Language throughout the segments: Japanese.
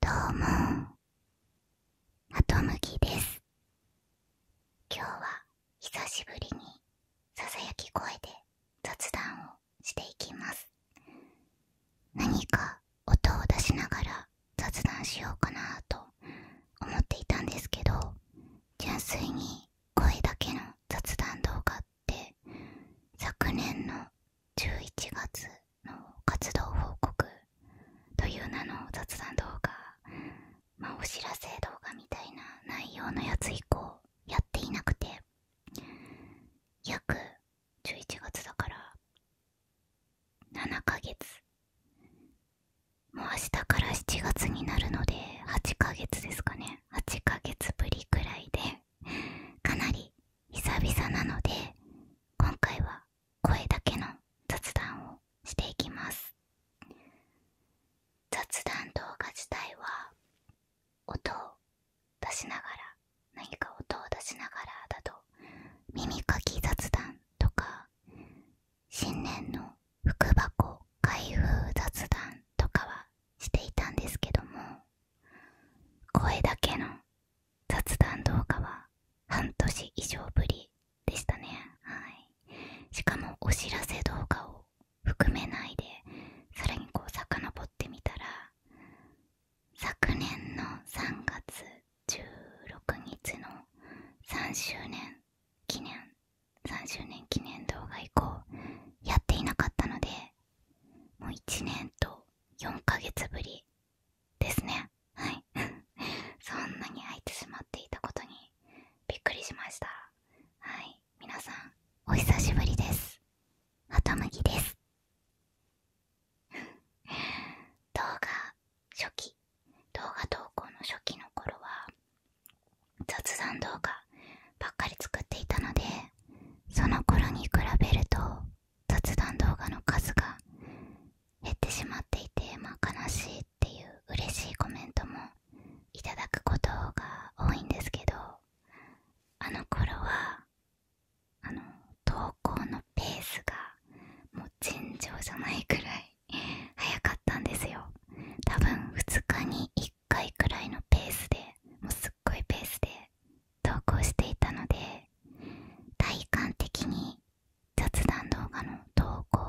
どうもあとむきです今日は久しぶりにささやき声で雑談をしていきます何か音を出しながら雑談しようかなと思っていたんですけど純粋に声だけの雑談動画って昨年の11月の活動報告という名の雑談動画まあお知らせ動画みたいな内容のやつ以降やっていなくて約11月だから7ヶ月もう明日から7月になるので8ヶ月ですかね8ヶ月ぶりくらいでかなり久々なので今回は声だけの雑談をしていきます雑談動画自体は音を出しながら何か音を出しながらだと耳かき雑談とか新年の福箱開封雑談とかはしていたんですけども声だけの雑談動画は半年以上ぶりでしたねはいしかもお知らせ動画を含めないでさらにこう遡ってみたら昨年の3月16日の3周年記念3周年記念動画以降やっていなかったのでもう1年と4ヶ月ぶりですねはい そんなに空いてしまっていたことにびっくりしましたはい皆さんお久しぶりですはたむぎです 動画初期動画投稿の初期の頃は雑談動画ばっかり作っていたのでその頃に比べると雑談動画の数が減ってしまっていて、まあ、悲しいっていう嬉しいコメントもいただくことが多いんですけどあの頃はあの投稿のペースがもう尋常じゃないくらい 早かったんですよ多分2日に1回くらいのペースでもうすっごいペースで投稿していたので体感的に雑談動画の投稿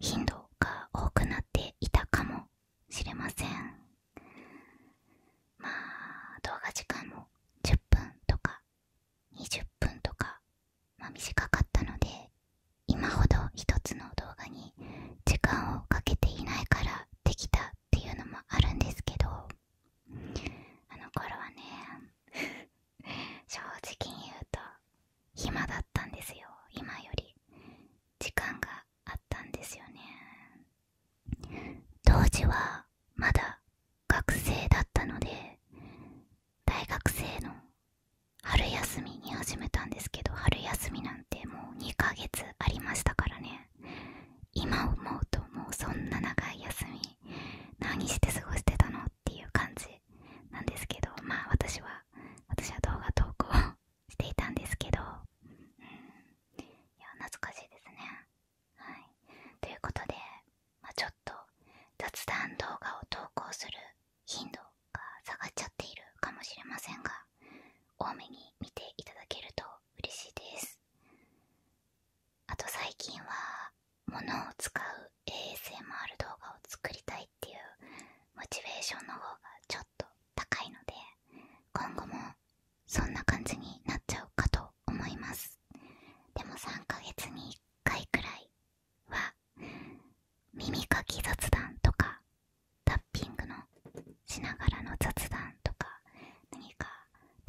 頻度が多くなっていたかもしれませんまあ動画時間も10分とか20分とか、ま短かったので今ほど一つの動画に時間をかけていないからできたっていうのもあるんですけどあの頃はね 正直に言うと暇だったんですよ今より時間があったんですよね当時はまだ学生だったので大学生の春休みに始めたんですけど春休みなんてもう2ヶ月ありましたからね今思うともうそんな長い休み何して過ごしてたのっていう感じなんですけどまあ私は私は動画投稿していたんですけどうんいや懐かしいですねはいということで、ちょっと雑談動画を投稿する頻度が下がっちゃっているかもしれませんが多めに見ていただけると嬉しいですあと最近はものを使う ASMR 動画を作りたいっていうモチベーションの方がちょっと高いので今後もそんな感じになっちゃうかと思いますでも3ヶ月に1回くらいは耳かき雑談とかタッピングのしながらの雑談とか何か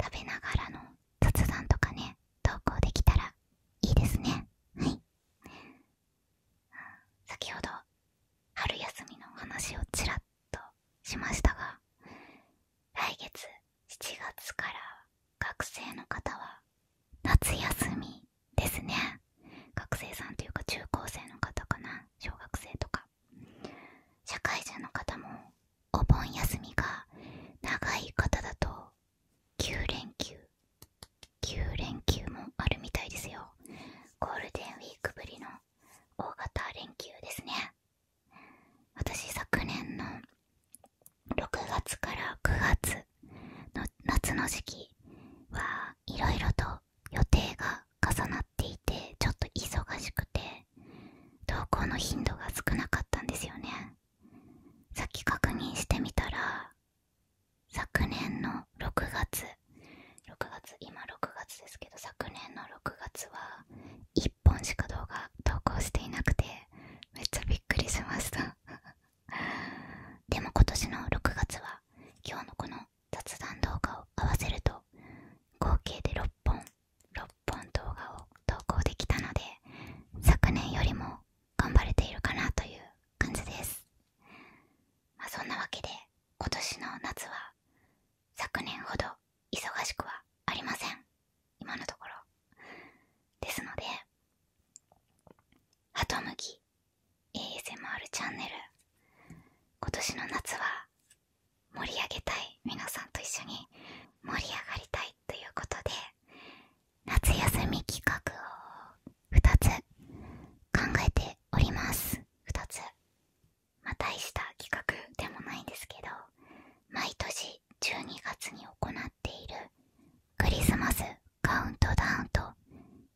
食べながらの雑談とかね投稿できたらいいですねはい先ほど春休みの話をちらっとしましたが来月7月から学生の方は夏休みですね学生さんというか中高生の方かな小学生とか社会人の方もお盆休みが長い方だと9連休9連休もあるみたいですよゴールデンウィークぶりの大型連休ですね私昨年の6月から9月の夏の時期はいろいろと予定が重なっていてちょっと忙しくて投稿の頻度が少なかったんですよねさっき確認してみたら昨年の6月6月今6月ですけど昨年の6月は1本しか動画投稿していなくてめっちゃびっくりしました でも今年の6月は今日のこの雑談動画を合わせると合計で6本6本動画を投稿できたので昨年よりも頑張れているかなという感じです、まそんなわけで今年の夏は昨年ほど忙しくはありません今のところですので「ハトムギ ASMR チャンネル」今年の夏は盛り上げたい皆さんと一緒に盛り上がりたいということで夏休み企画を2つ考えておりますまあ大した企画でもないんですけど毎年12月に行っているクリスマスカウントダウンと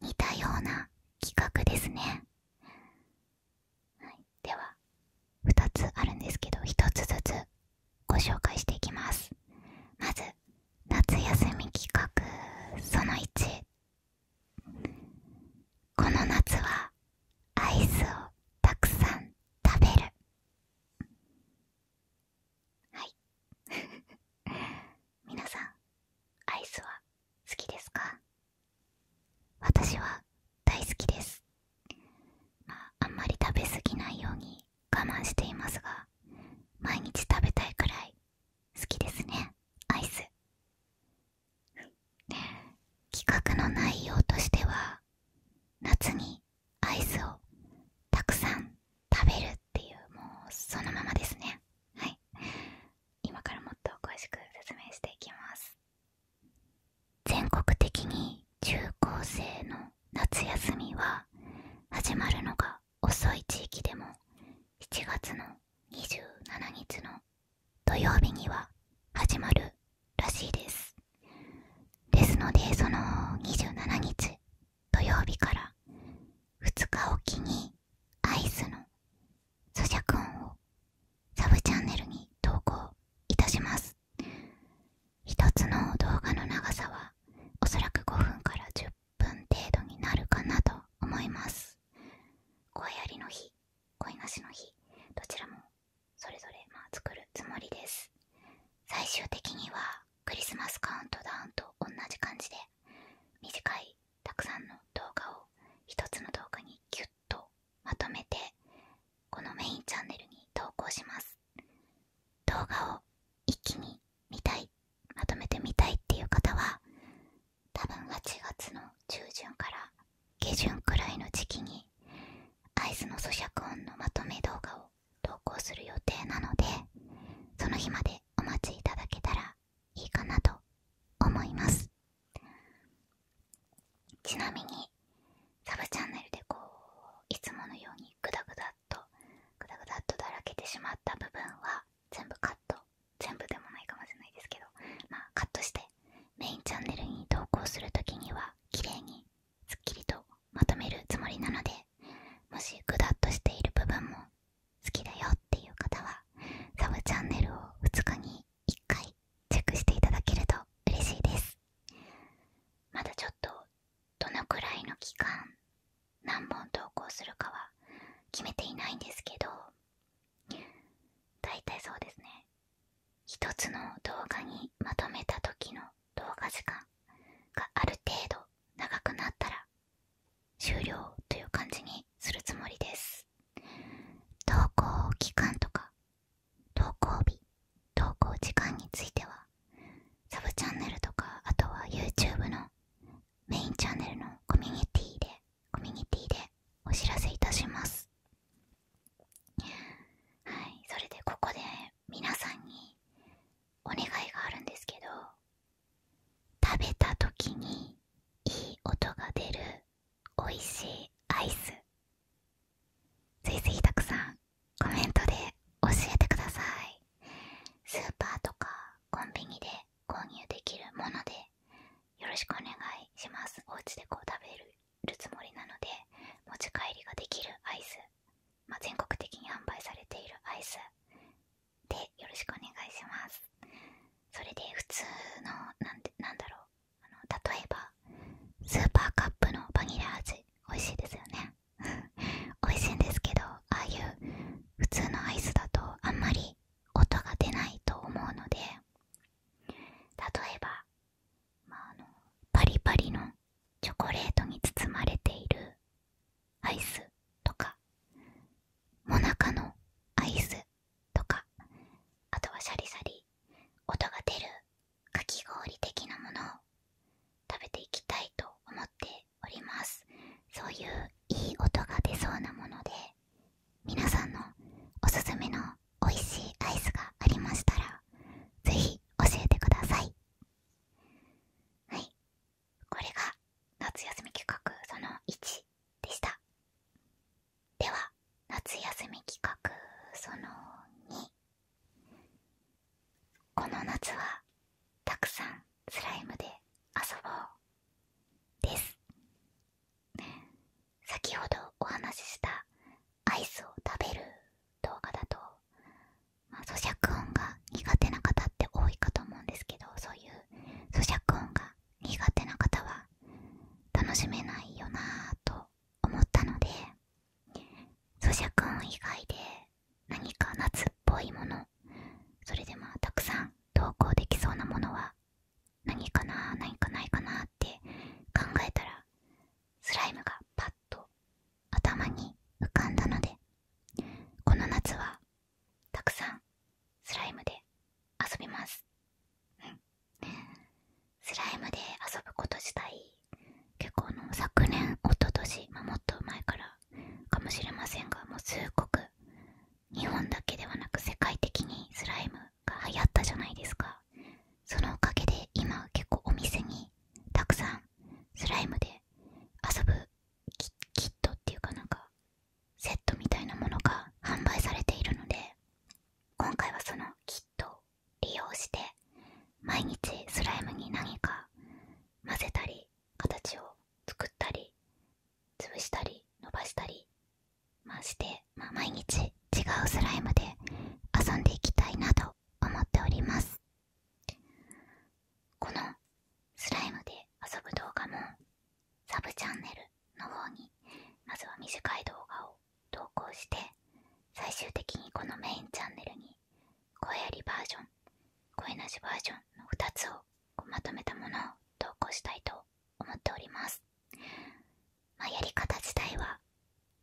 似たような企画ですねでは2つあるんですけど1つずつご紹介していきますまず夏休み企画その1この夏はアイスをたくさん食べるはい 皆さんアイスは好きですか私は大好きですあんまり食べ過ぎないように我慢していますが毎日食べたいくらい好きですねアイス企画の内容としては夏にアイスをたくさん食べるっていうもうそのままですねはい今からもっと詳しく説明していきます全国的に中高生の夏休みは始まるのが遅い地域でも7月の27日の土曜日には始まるらしいですですのでその27日土曜日から2日おきにアイスの咀嚼音をサブチャンネルに投稿いたしますます一つの動画の長さはおそらく5分から10分程度になるかなと思います声ありの日声なしの日どちらもそれぞれまあ作るつもりです最終的にはクリスマスカウントダウンと同じ感じで短いたくさんの動画を一つの動画にギュッとまとめてこのメインチャンネルに投稿します動画を一気に見たいまとめてみたいっていう方は多分8月の中旬から下旬くらいの時期に会津の咀嚼音のまとめ動画を投稿する予定なのでその日までお待ちいただけたらいいかなと思いますちなみにサブチャンネルでこういつものようにグダグダっとグダグダっとだらけてしまった部分は全部カット全部でもないかもしれないですけどまあカットしてメインチャンネルに投稿する時には綺麗にすっきりとまとめるつもりなのでもしグダっとしている部分も好きだよっていう方はサブチャンネルを2日に1回チェックしていただけると嬉しいですまだちょっとどのくらいの期間何本投稿するかは決めていないんですけどだいたいそうですね一つの動画にまとめた時の動画時間がある程度長くなったら終了という感じにするつもりです投稿期間とか投稿日投稿時間についてはサブチャンネルとかあとは YouTube のメインチャンネルのコミュニティでコミュニティでお知らせいたしますはいそれでここで皆さんにお願いがあるんですけど食べた時にいい音が出る美味しいアイスぜひぜひたくさんコメントで教えてくださいスーパーとかコンビニで購入できるものでよろしくお願いしますお家でこう食べるつもりなので持ち帰りができるアイス、ま全国的に販売されているアイスでよろしくお願いしますそれで普通の何てなんだろうあの例えばスーパーカップのバニラ味美味しいですよね 美味しいんですけどああいう普通のアイスだとあんまり音が出ないと思うので例えば、あのパリパリのチョコレートに包まれているアイスとかもなかのアイスとかあとはシャリシャリ音が出るかき氷的なものを食べていきたいと思っておりますそういういい音が出そうなもので皆さんのおすすめの美味しいアイスがありましたらぜひ教えてくださいはいこれが夏休み企画その1でしたでは夏休み企画その2この夏はたくさんスライムで遊ぼうです先ほどお話ししたアイスを食べる動画だと、まあ、咀嚼音が苦手な方って多いかと思うんですけどそういう咀嚼音が苦手な方は楽しめないよなぁと思ったので咀嚼音以外で何か夏っぽいものそれでまあたくさん投稿できそうなものは何かな何かないかなって考えたらスライムがパッと頭に浮かんだのでこの夏はたくさんスライムで遊びます。スライムで遊ぶこと自体結構の昨年おととし、もっと前からかもしれませんがもうすごく日本だけではなく世界的にスライムが流行ったじゃないですかそのおかげで今結構お店にたくさんスライムで遊ぶキットっていうかなんかセットみたいなものが販売されているので今回はそのキットを利用して毎日スライムに何か混ぜたり形を作ったり潰したり伸ばしたり、まして、ま毎日違うスライムで遊んでいきたいなと思っておりますこのスライムで遊ぶ動画もサブチャンネルの方にまずは短い動画を投稿して最終的にこのメインチャンネルに声ありバージョン声なしバージョンの2つをまとめたものを投稿したいと思っております、まやり方自体は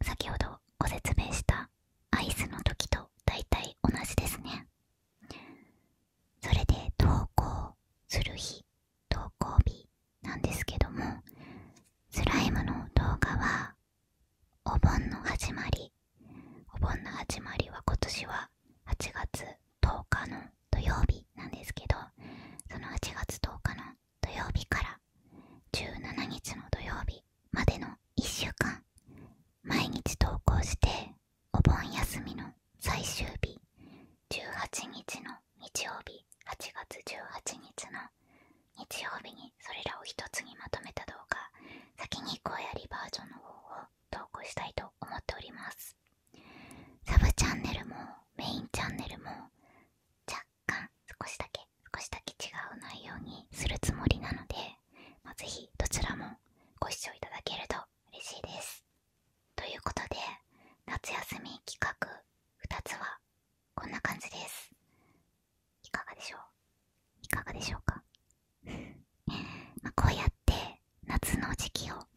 先ほどご説明したアイスの時と大体同じですねそれで投稿する日投稿日なんですけどもスライムの動画はお盆の始まりお盆の始まりは今年は8月10日の土曜日なんですけどその8月10日の土曜日から17日の土曜日までの1週間毎日投稿してお盆休みの最終日18日の日曜日8月18日の日曜日にそれらを一つにまとめた動画先に声やりバージョンの方を投稿したいと思っておりますサブチャンネルもメインチャンネルも若干少しだけ少しだけ違う内容にするつもりなので、ぜひどちらもご視聴いただけると嬉しいですということで夏休み企画2つはこんな感じですいかがでしょういかがでしょうか こうやって夏の時期を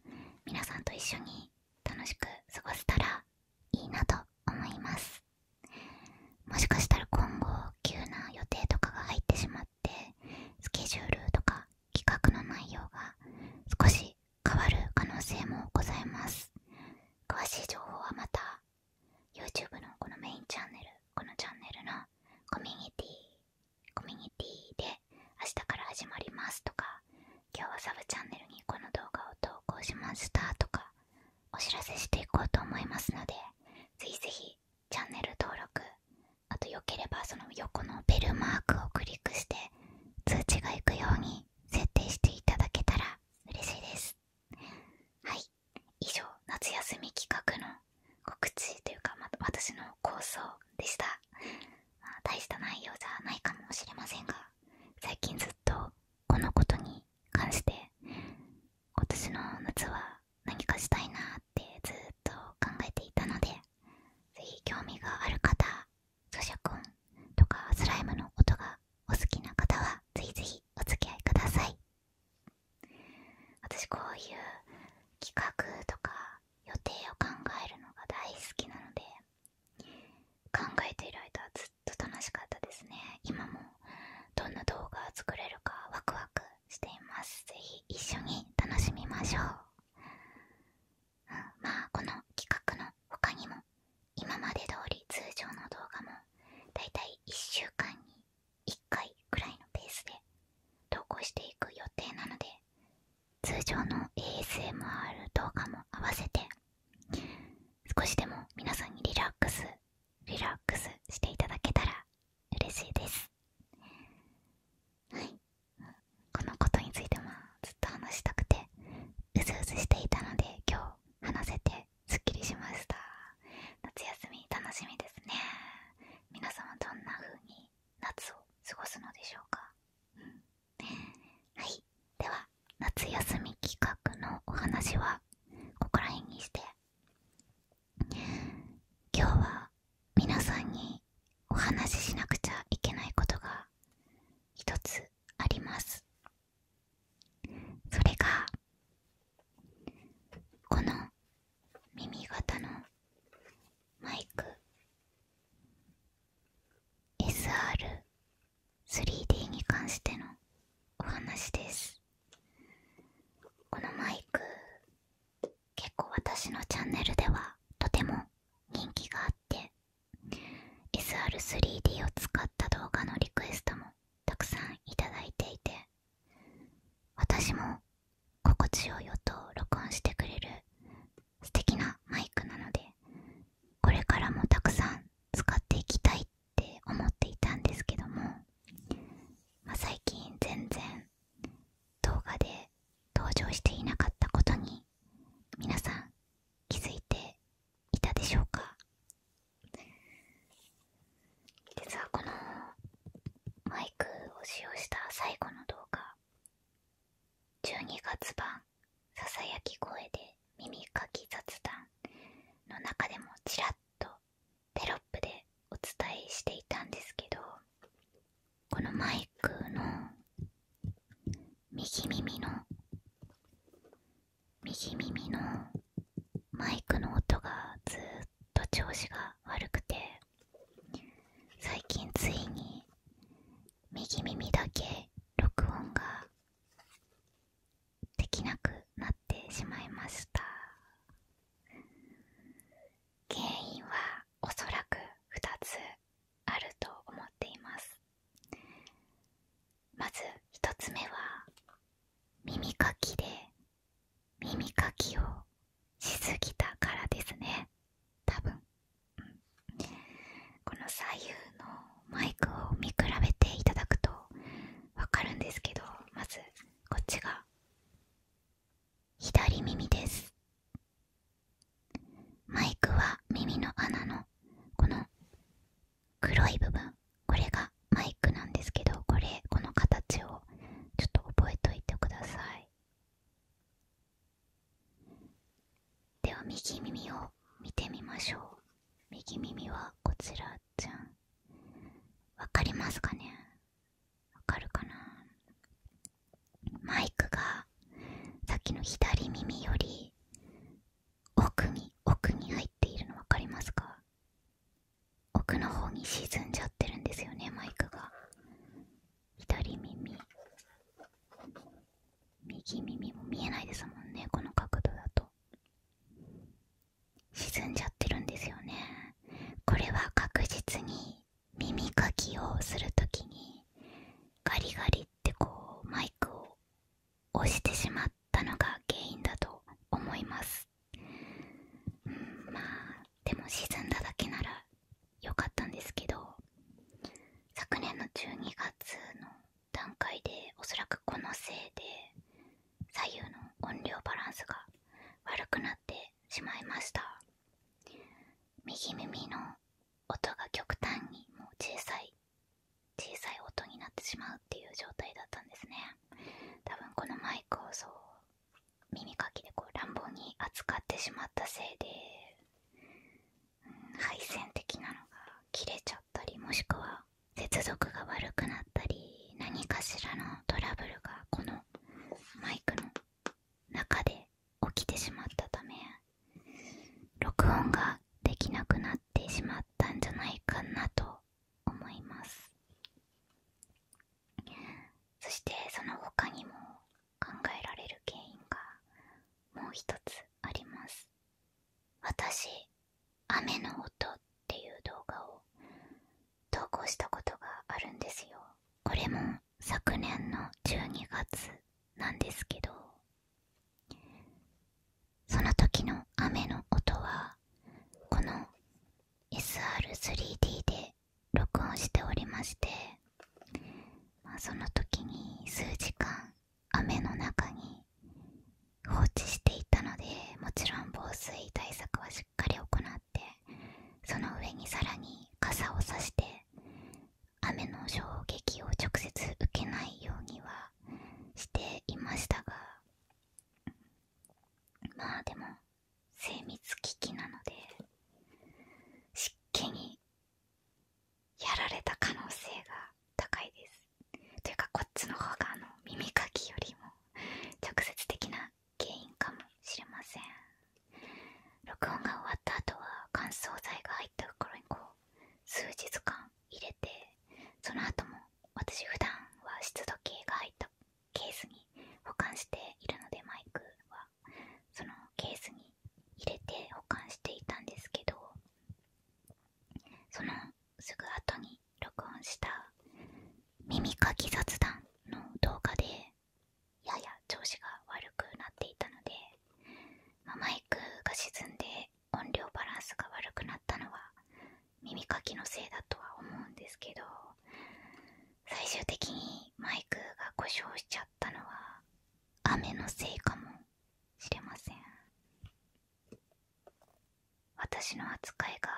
皆さんと一緒に楽しく過ごせたらいいなと思いますもしかしたら今後急な予定とかが入ってしまってスケジュールとか企画の内容が少し変わる可能性もございます詳しい情報はまた YouTube のこのメインチャンネルこのチャンネルのコミュニティコミュニティで明日から始まりますとか今日はサブチャンネルにこの動画を投稿しましたとかお知らせしていこうと思いますのでぜひぜひチャンネル登録あとよければその横のベルマークをクリックして通知がいくように設定していただけたら嬉しいですはい以上夏休み企画の告知というか、ま、私の構想でした、大した内容じゃないかもしれませんが最近ずっとこのことに関して今年の夏は何かしたいなってずっと考えていたので是非興味がある方咀嚼音とかスライムの音がお好きな方はぜひぜひお付き合いください私こういう企画とか予定を考えるのが大好きなので考えている間はずっと楽しかったですね今もどんな動画作れるかワクワクしています是非一緒に楽しみましょう、うん、まあこの企画の他にも今まで通り通常の動画もだいたい1週間に1回くらいのペースで投稿していく予定なので通常の ASMR 動画も合わせて少しでも皆さんにリラックスリラックスしていただけたら嬉しいですはいこのことについてもずっと話したくてうずうずしていたので今日話せてすっきりしました夏休み楽しみですね皆様どんな風に夏を過ごすのでしょうか、はいでは夏休み企画のお話はここら辺にして今日は皆さんにお話ししなくちゃいけないことが一つありますそれがこの耳型のマイク SR3D に関してのお話ですこのマイク結構私のチャンネルではとても人気があって SR3D を使った動画のリクエストもたくさんいただいていて私も心地よい音を録音してくれる素敵なマイクなのでこれからもたくさん使っていきたいって思っていたんですけども、ま最近全然動画で登場していなかったことに皆さん気づいていたでしょうか実はこのマイクを使用した最後の動画12月版「ささやき声で耳かき雑談」の中でもちらっとテロップでお伝えしていたんですけどこのマイクの右耳の右耳のマイクの音がずっと調子が悪くて最近ついに右耳だけ録音ができなくなってしまいました原因はおそらく2つあると思っていますまず1つ目は耳かきで耳かきをしすぎたからですね多分、ん、この左右のマイクを見比べていただくとわかるんですけどまずこっちが左耳ですマイクは耳の穴のこの黒い部分これがマイクなんですけどこれこの形をちょっと覚えといてくださいでは右耳を見てみましょう右耳はこちらじゃんわかりますかねわかるかなマイクがさっきの左耳より奥に奥に入っているの分かりますか奥の方に沈んじゃってるんですよねマイクが左耳右耳も見えないですもんねこの角度だと沈んじゃってるんですよねこれは確実に耳かきをする時にガリガリってこうマイクを押してしまっったのが原因だと思います、まあでも沈んだだけなら良かったんですけど昨年の12月の段階でおそらくこのせいで左右の音量バランスが悪くなってしまいました右耳の音が極端にもう小さい小さい音になってしまうっていう状態だったんですね多分このマイクを耳かきで乱暴に扱ってしまったせいで、配線的なのが切れちゃったりもしくは接続が悪くなったり何かしらのトラブルがこのマイクの中で起きてしまったため録音ができなくなってしまったんじゃないかなと思いますそしてその他にも考えられる原因がもう一つあります私雨の音っていう動画を投稿したことがあるんですよこれも昨年の12月なんですけどその時の雨の音はこの SR3D で録音しておりまして、その時に数時間雨の中に放置していたのでもちろん防水対策はしっかり行ってその上にさらに傘をさして雨の衝撃を直接受けないようにはしていましたがまあでも精密機器なので湿気にやられた可能性が高いですというかこっちの方があの耳かきよりも直接的な原因かもしれません録音が終わった後は乾燥剤が入った袋にこう数日間入れてその後も私普段は湿度計が入ったケースに保管しているのでマイクはそのケースに入れて保管していたんですけどそのすぐ後に録音した耳かき雑談の動画でやや調子が悪くなっていたので、まマイクが沈んで音量バランスが悪くなったのは耳かきのせいだとは思うんですけど最終的にマイクが故障しちゃったのは雨のせいかもしれません私の扱いが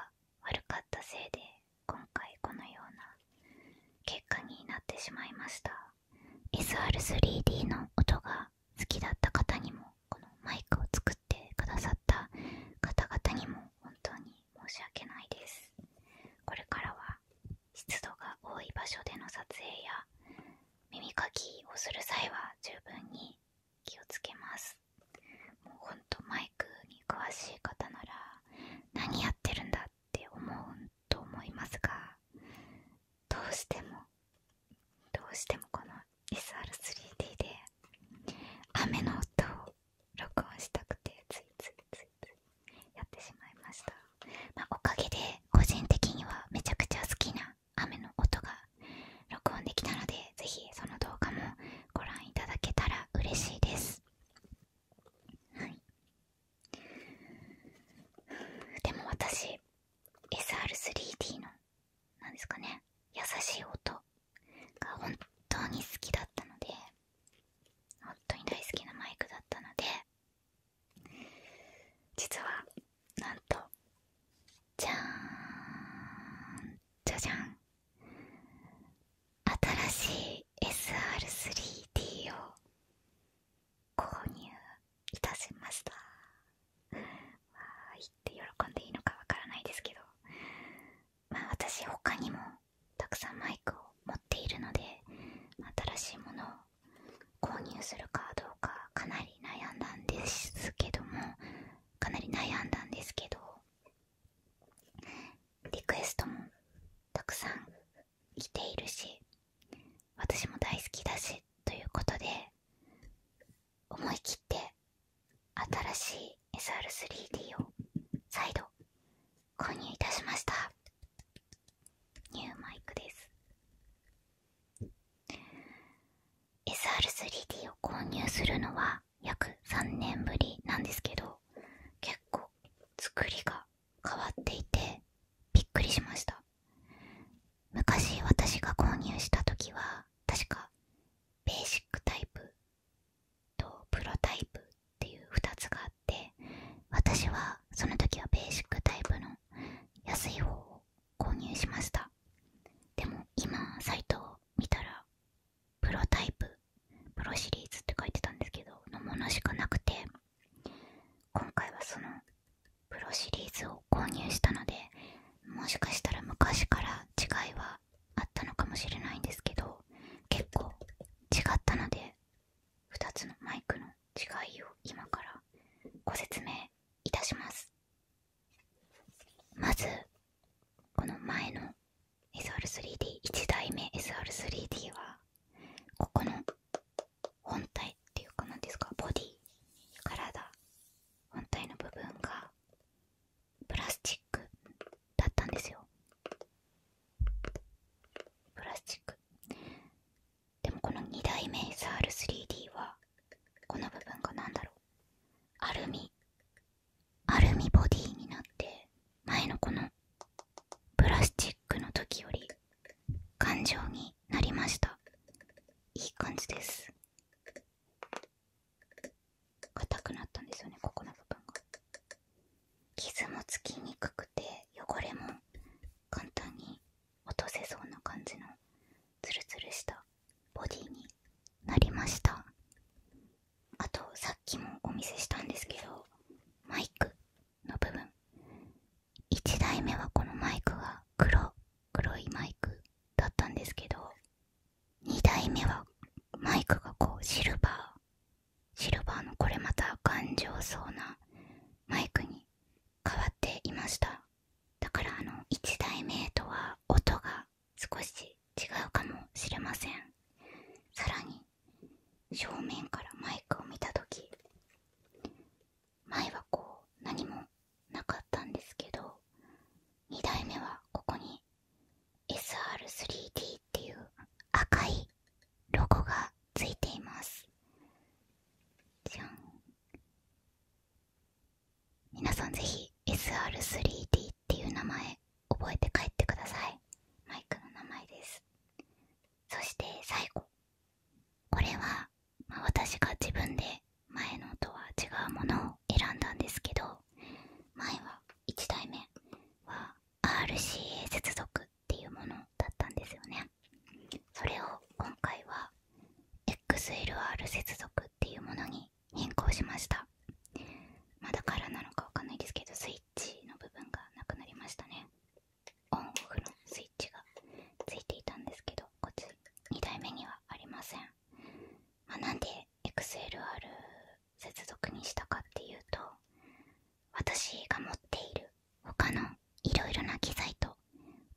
悪かったせいで今回このような結果になってしまいました SR3D の音が好きだった方にもこのマイクを作ってくださった方々にも本当に申し訳ないですこれからは湿度が多い場所での撮影や耳かきをする際は十分に気をつけますもうほんとマイクに詳しい方なら何やってるんだって思うと思いますがどうしてもどうしてもこの SR3D で雨の音を録音したくてついついついついやってしまいました、おかげで個人的にはめちゃくちゃ好きな雨の音が録音できたのでぜひその動画もご覧いただけたら嬉しいですはいでも私 SR3D のなんですかね優しい音が本当に好きだったので本当に大好きなマイクだったので実はなんとじゃーんじゃじゃん新しい SR3D を購入いたしましたーいって喜んでいいのかわからないですけどまあ私他にもたくさんマイクを持っているので新しいものを購入するかどうかかなり悩んだんですけどもかなり悩んだんですけどリクエストもたくさん来ているし私も大好きだしということで思い切って新しい SR3D を再度購入いたしましたニューマイクです SR3D を購入するのは約3年ぶりなんですけど結構作りが変わっていてびっくりしました昔私が購入した時は確かベーシックタイプとプロタイプっていう2つがあって私はその時はベーシックタイプの安い方を購入しましたでも今サイトを見たらプロタイププロシリーズって書いてたんですけどのものしかなくて今回はそのプロシリーズを購入したのでもしかしたら昔から違いはあったのかもしれないんですけど結構違ったので2つのマイクの違いを今からご説明いたしますまずこの前の SR3D1 台目 SR3D はここの本体っていうか何ですかボディ体本体の部分がプラスチックだったんですよプラスチックでもこの2代目 SR3D はこの部分が何だろうアルミアルミボディになって前のこのプラスチックの時より頑丈になりましたいい感じです硬くなったんですよねここの部分が傷もつきにくくて汚れも簡単に落とせそうな感じのツルツルしたボディになりましたあとさっきもお見せしたんですけどマイクの部分1台目はこのマイクが黒黒いマイクだったんですけど2台目はマイクがこうシルバーシルバーのこれまた頑丈そうなマイクに変わっていましただからあの1台目とは音が少し違うかもしれませんさらに正面からマイクを見た時前はこう何もなかったんですけど2台目はここに SR3D っていう赤いロゴがついていますじゃん皆さんぜひ SR3D っていう名前覚えて帰ってくださいマイクの名前ですそして最後これは、私が自分で前のとは違うものを選んだんですけど前は1台目は RCA 接続っていうものだったんですよねそれを今回は XLR 接続っていうものに変更しましたまあ、だからなのかわかんないですけどスイッチの部分がなくなりましたねオンオフのスイッチがついていたんですけどこっち2台目にはありませんまなんで XLR 接続にしたかっていうと私が持っている他のいろいろな機材と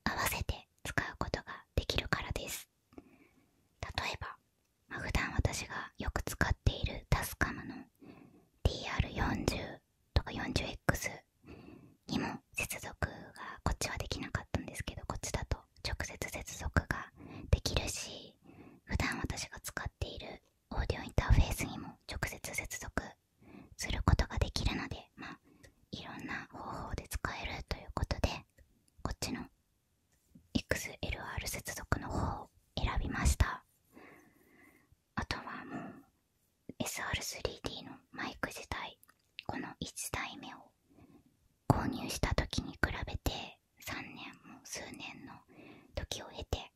合わせて使うことができるからです例えば、まあ、普段私がよく使っているタスカムの DR40 とか 40X にも接続がこっちはできなかったんですけどこっちだと直接接続ができるし普段私が使っているオーディオインターフェースにも直接接続することができるので、まあ、いろんな方法で使えるということでこっちの XLR 接続の方を選びましたあとはもう SR3D のマイク自体この1台目を購入した時に比べて3年も数年の時を経て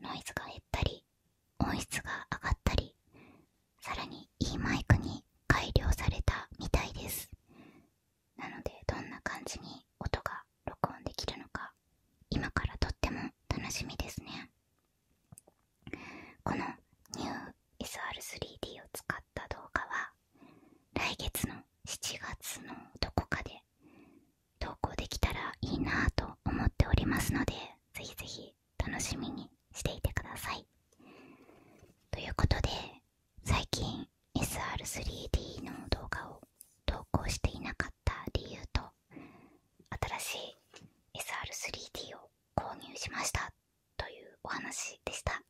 ノイズが減ったり音質が上がったりさらにいいマイクに改良されたみたいですなのでどんな感じに音が録音できるのか今からとっても楽しみですねこのニュー SR3D を使った動画は来月の7月のどこかで投稿できたらいいなと思っておりますのでぜひぜひ楽しみにしていてくださいということで最近 SR3D の動画を投稿していなかった理由と新しい SR3D を購入しましたというお話でした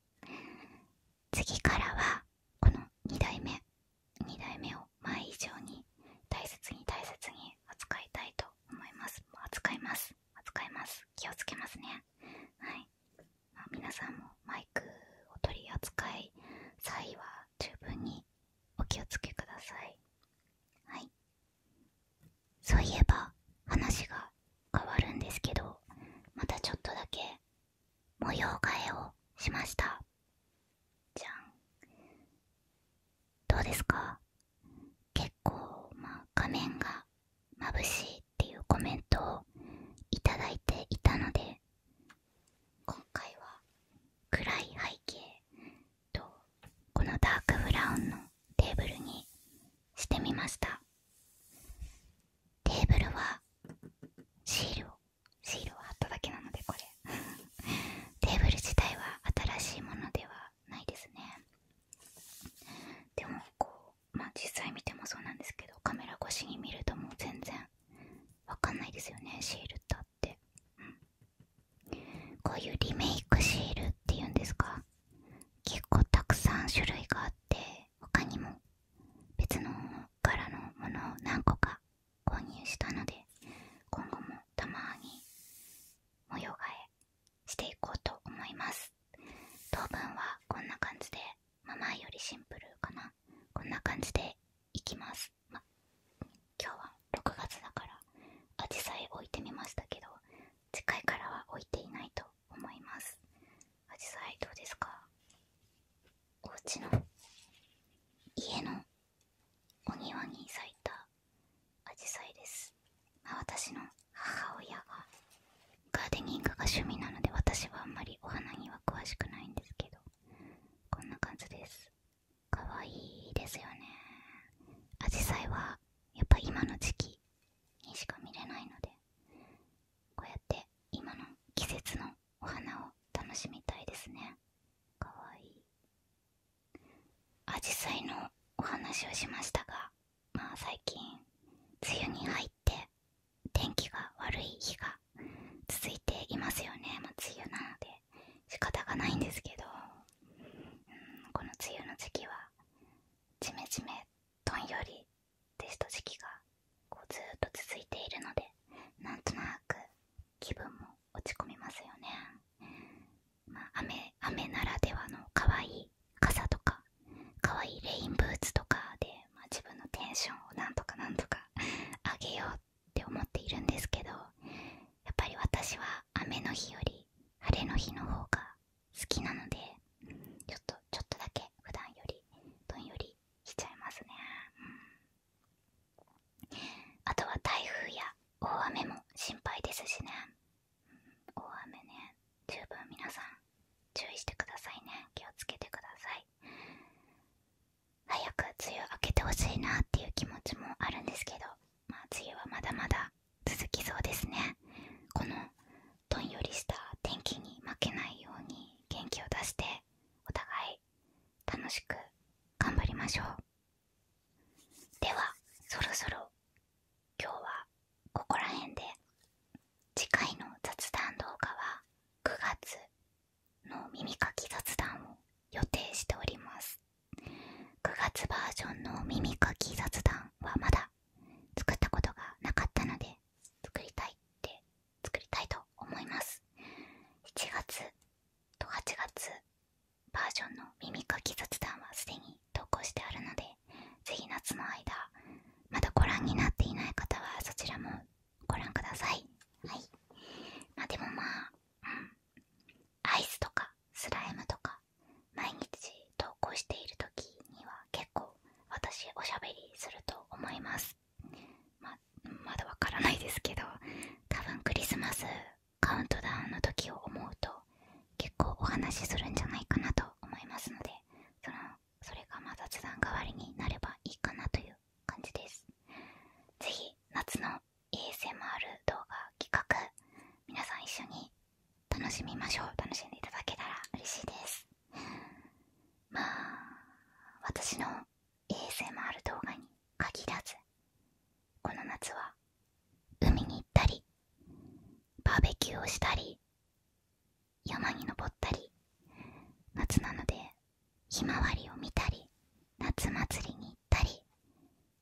次からはこの2代目2代目を前以上に大切に大切に扱いたいと思います扱います扱います気をつけますねはい、皆さんもマイクを取り扱い際は十分にお気をつけくださいはいそういえば話が変わるんですけどまたちょっとだけ模様替えをしましたじゃんどうですか結構、まあ、画面が眩しいっていうコメントをいただいていたので今回は暗い背景とこのダークブラウンのテーブルにしてみましたテーブルはシールをシールを貼っただけなのでこれ テーブル自体は新しいものではないですねでもこうまあ実際見てもそうなんですけどカメラ越しに見るともう全然わかんないですよねシールってあって、こういうリメイクシールっていうんですか結構たくさん種類があって他にも別の柄のものを何個か購入したので今後もたまに模様替えしていこうと思います当分はこんな感じでまあ前よりシンプルかなこんな感じでいきます、ま、今日は6月だからアジサイ置いてみましたけど次回からは置いていないと思いますアジサどうですかお家の家のお庭に咲いたアジサイです、まあ、私の母親がガーデニングが趣味なので私はあんまりお花には詳しくないんですけどこんな感じですかわいいですよねアジサイはやっぱ今の時期にしか見れないのでこうやって今の季節のお花を楽しみたいですねかわいいアジサイのお話をしましたがまあ最近梅雨に入って天気が悪い日が続いていますよね、ま梅雨なので仕方がないんですけどうんこの梅雨の時期はジメジメどんよりテスト時期がずっと続いているのでなんとなく気分も落ち込みますよね、雨雨ならではの可愛い傘とか可愛いレインブーツとかで、自分のテンションをなんとかなんとか 上げようって思っているんですけどやっぱり私は雨の日より晴れの日の方が好きなのでちょっとちょっとだけ普段よりどんよりしちゃいますね、あとは台風や大雨も心配ですしね、大雨ね十分皆さん注意してくださいね気をつけてください早く梅雨明けてほしいなっていう気持ちもあるんですけどまあ梅雨はまだまだ続きそうですねこのどんよりした天気に負けないように元気を出してお互い楽しく頑張りましょうではそろそろ今日はここら辺で次回の雑談動画は9月の耳かき雑談を予定しております9月バージョンの耳かき雑談はまだ作ったことがなかったので作りたいって作りたいと思います7月と8月バージョンの耳かき雑談はすでに投稿してあるのでぜひ夏の間まだご覧になっていない方はそちらもご覧くださいはいまあでもまあアイスとかスライムとか毎日投稿している時には結構私おしゃべりすると思いますままだわからないですけど多分クリスマスカウントダウンの時を思うと結構お話しするんじゃないかなと思いますのでそのそれが雑談代わりになればいいかなという感じです是非夏の ASMR 動画企画皆さん一緒に楽しみましょう楽しんでいただけたら嬉しいですまあ私の衛星もある。動画に限らずこの夏は海に行ったりバーベキューをしたり山に登ったり夏なのでひまわりを見たり夏祭りに行ったり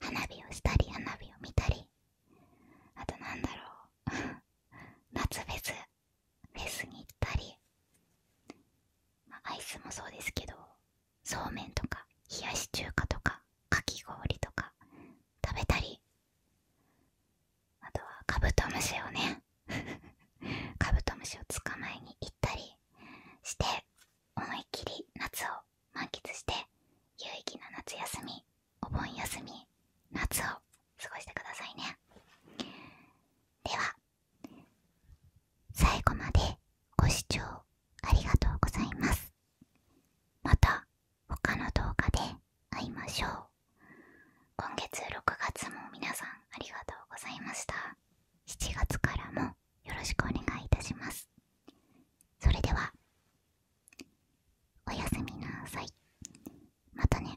花火をしたり花火を見たりあとなんだろう 夏フェスフェスたり、アイスもそうですけどそうめんとか冷やし中華とかかき氷とか食べたりあとはカブトムシをね カブトムシを捕まえに行ったりして思いっきり夏を満喫して有意義な夏休みお盆休み夏を過ごしてくださいねでは最後までご視聴ありがとうございますまた他の動画で会いましょう今月6月も皆さんありがとうございました7月からもよろしくお願いいたしますそれではおやすみなさいまたね